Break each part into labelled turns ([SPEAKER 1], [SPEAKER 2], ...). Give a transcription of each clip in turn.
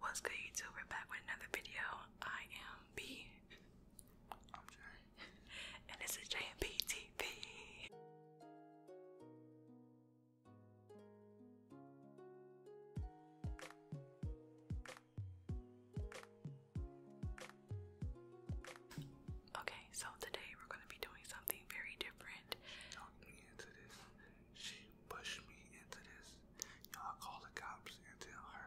[SPEAKER 1] What's good YouTuber? back with another video. I am B. and this is JMB Okay, so today we're gonna be doing something very different. She pushed me into this. Y'all call the cops and tell her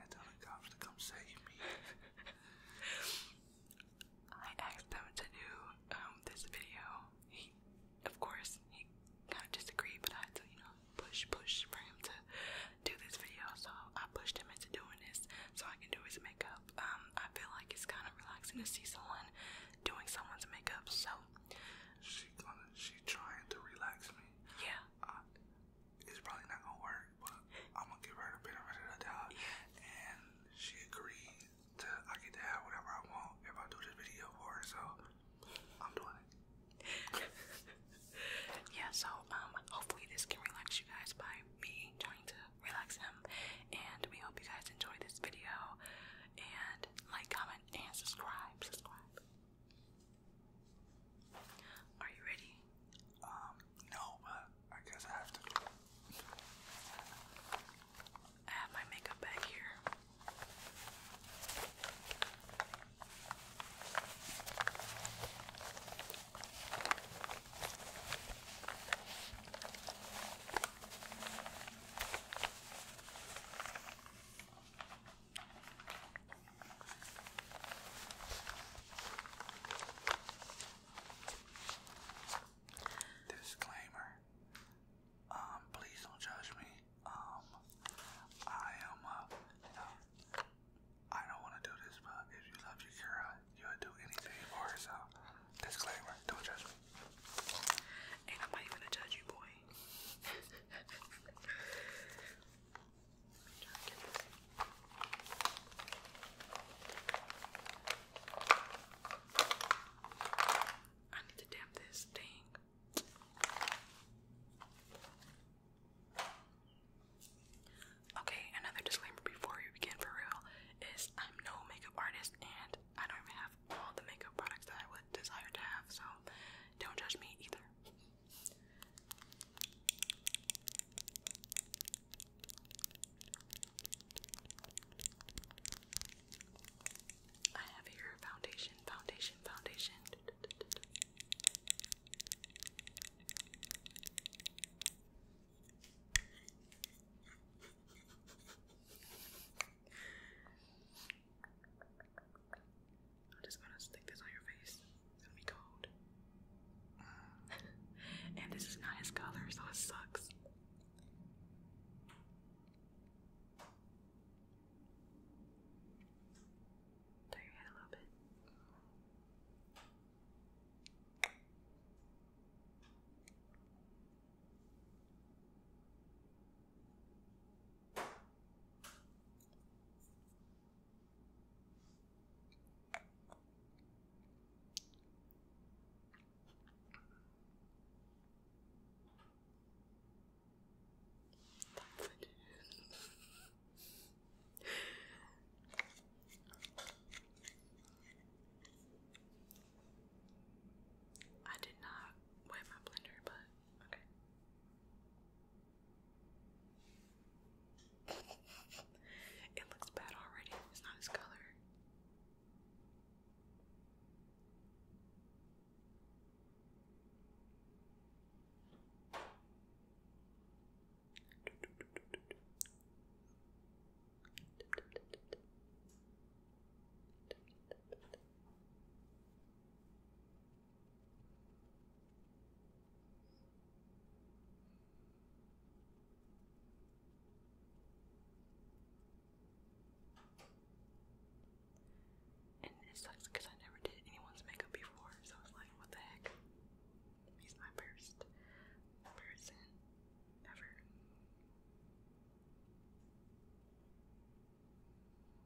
[SPEAKER 1] and tell the cops to come save me. I asked them to do um, this video. He, of course, he kind of disagreed, but I had to, you know, push, push for him to do this video. So I pushed him into doing this so I can do his makeup. Um, I feel like it's kind of relaxing to see someone doing someone's makeup. So she gonna she trying to relax me. Yeah. it's probably not gonna work, but I'm gonna give her the benefit of the doubt. Yeah. And she agreed to I get to have whatever I want if I do this video for her, so I'm doing it. yeah, so um hopefully this can relax you guys by me trying to relax him. And we hope you guys enjoy this video. And like, comment, and subscribe. Subscribe. Are you ready? Um, no, but I guess I have to. I have my makeup bag here. Disclaimer. Um, please don't judge me. Um, I am, uh, don't want to do this, but if you love your girl, you would do anything for her, disclaimer, don't judge me. Ain't nobody gonna judge you, boy. I need to damp this thing. Okay, another disclaimer before we begin for real is I'm no makeup artist and I don't even have all the makeup products that I would desire to have, so don't judge me either. I have here foundation, foundation, foundation. I'm just gonna stick this on your face. It's gonna be cold. and this is not his colors. so it sucks. Turn your head a little bit. That's it. I did not wet my blender, but Okay. It looks bad already. It's not his color. And it sucks because I never did anyone's makeup before, so I was like, what the heck? He's my first person ever.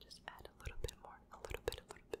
[SPEAKER 1] Just add a little bit more, a little bit, a little bit.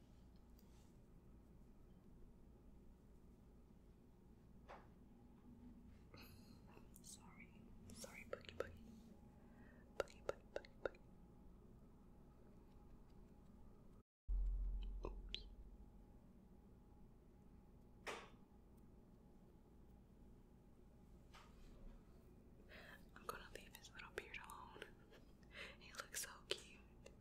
[SPEAKER 1] Sorry, sorry, boogie boogie. Boogie boogie boogie boogie. Oops. I'm gonna leave his little beard alone. he looks so cute.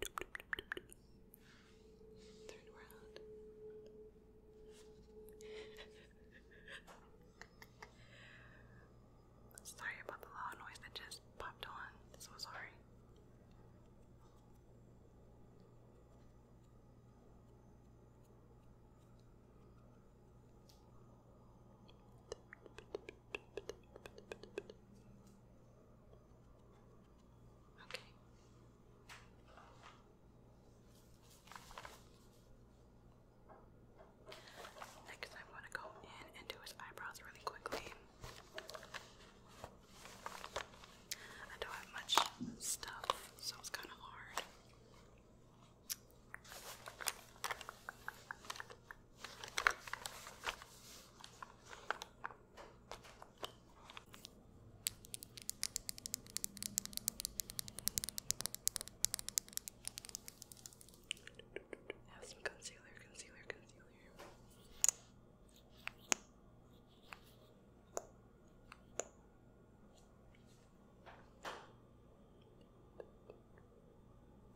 [SPEAKER 1] Third round. sorry about the loud noise that just popped on. So sorry. Okay. Next, I want to go in and do his eyebrows really quickly. I don't have much stuff, so it's kind of hard. Have some concealer, concealer, concealer.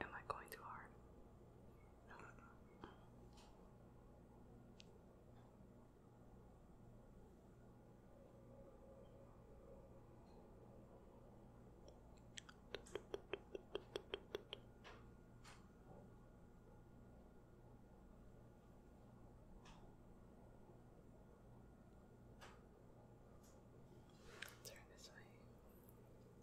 [SPEAKER 1] Am I going too hard? Turn this way.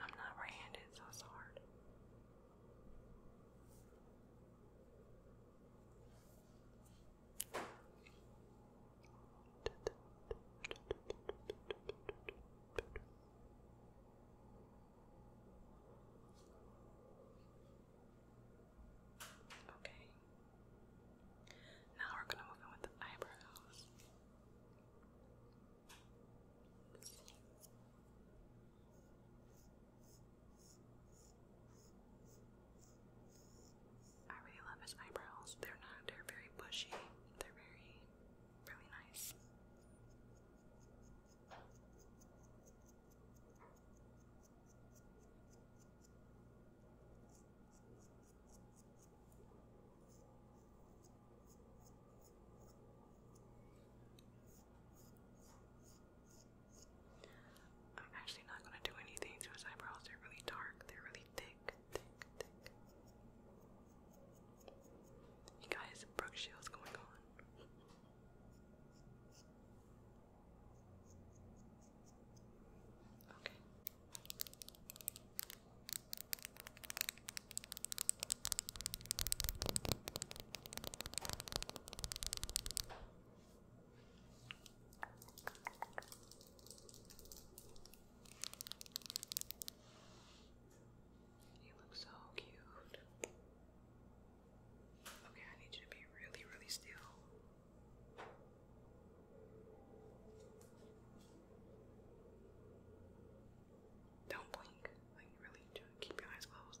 [SPEAKER 1] I'm not right handed, so it's hard. Okay. Now we're gonna move in with the eyebrows. I really love his eyebrows. They're not, they're very bushy. They're very, really nice. I'm actually not going to do anything to his eyebrows. They're really dark, they're really thick, thick, thick. You guys, Brooke Shields going on. Okay. You look so cute. Okay, I need you to be really, really still. Don't blink. Like, really, keep your eyes closed.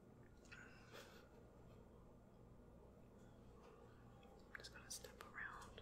[SPEAKER 1] I'm just gonna step around.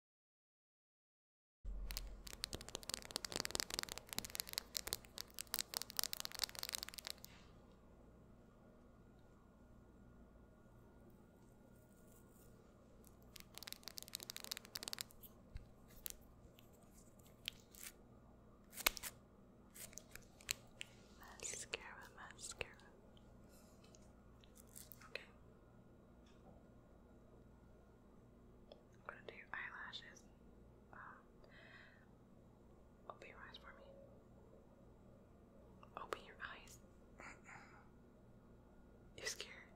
[SPEAKER 1] Mascara, mascara. Okay. I'm gonna do eyelashes. Um, open your eyes for me. Open your eyes. you scared?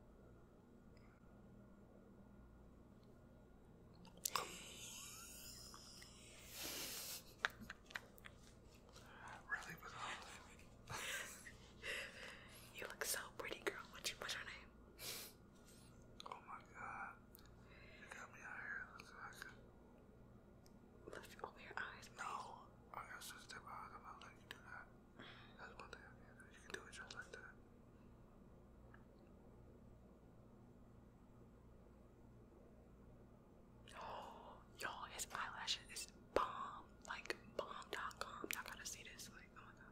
[SPEAKER 1] really You look so pretty, girl. what's your name? Oh my god. You got me out here looking Lift over your eyes, No. I got to step out. i you do that. That's one thing I can You can do it just like that. Oh, y'all, his eyelashes is bomb. Like, bomb.com. Y'all gotta see this. Like, oh my god.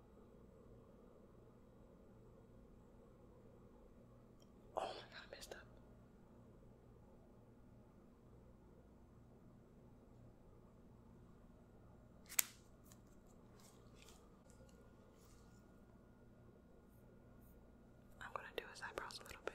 [SPEAKER 1] Oh my god, I messed up. I'm gonna do his eyebrows a little bit.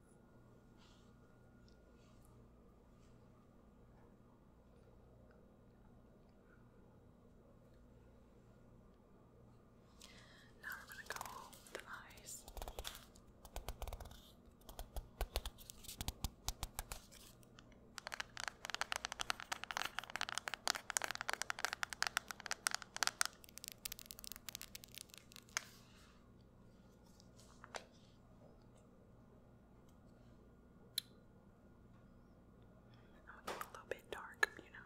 [SPEAKER 1] Now we're going to go with the eyes i a little bit dark, you know.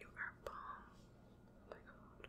[SPEAKER 1] You are bomb. Oh my god.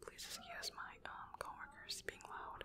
[SPEAKER 1] Please excuse my um coworkers being loud.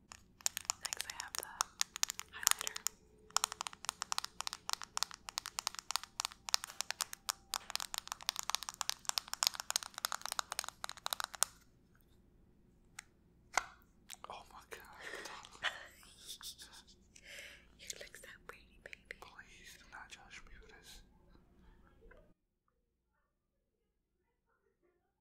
[SPEAKER 1] Next, I have the highlighter. Oh my god. you look so pretty, baby. Please do not judge me for this.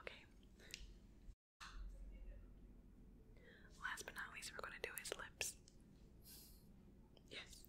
[SPEAKER 1] Okay. Last but not least, we're going to do his lips. Yes.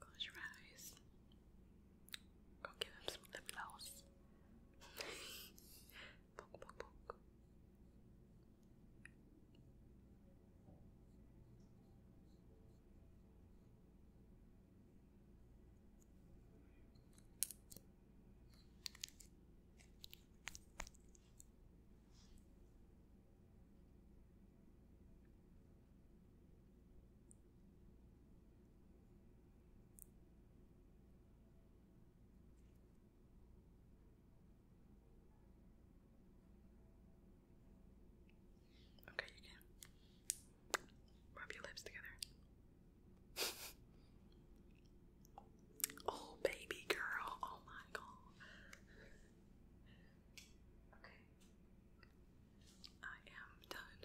[SPEAKER 1] Close your eyes. Go give him some lip gloss. poke, poke, poke. Okay, you can rub your lips together. oh, baby girl. Oh my god. Okay. I am done.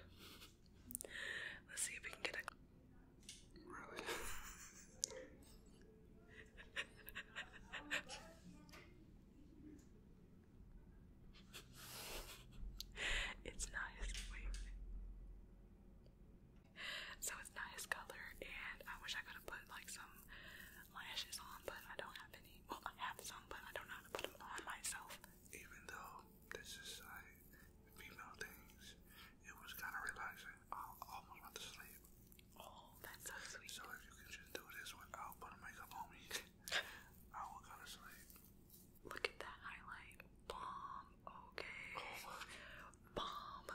[SPEAKER 1] Let's see if we can get a. Really? it's nice. Wait. So it's nice color, and I wish I could have put like some lashes on, but I don't have well, I have some, but I don't know how to put them on myself. Even though this is like female things, it was kind of relaxing. I almost went to sleep. Oh, that's so sweet. So if you can just do this without putting makeup on me, I will go to sleep. Look at that highlight. Bomb. Okay. Oh Bomb.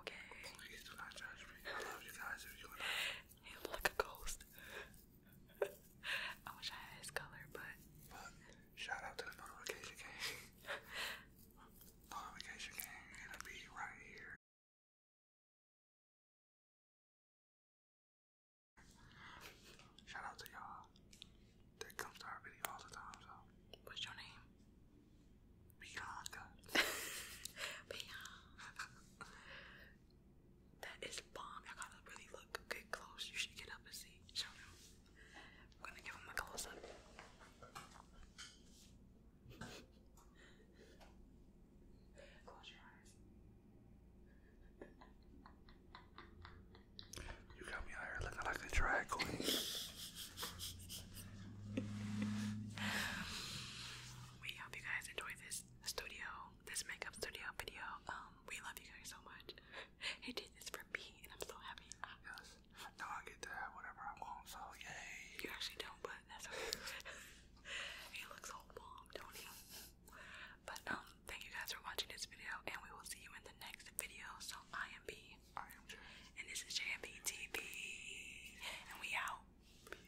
[SPEAKER 1] Okay. I love you guys if you and I. You look a ghost. I wish I had his color, but. But shout out to the notification gang. notification gang, it'll be right here. Shout out to y'all that comes to our video all the time. So. What's your name? Bianca. Bianca. That is bomb. I gotta really look good close. You should get up and see. Show them. I'm gonna give him a close up. Close your eyes. You got me out here looking like a drag queen. we hope you guys enjoyed this studio, this makeup studio video. Um, we love you guys so much. He did this for me, and I'm so happy. Yes. Now I get to have whatever I want, so yay. You actually don't, but he looks so bomb, don't he? But um, thank you guys for watching this video, and we will see you in the next video. So I am B. I And this is JMB TV, and we out.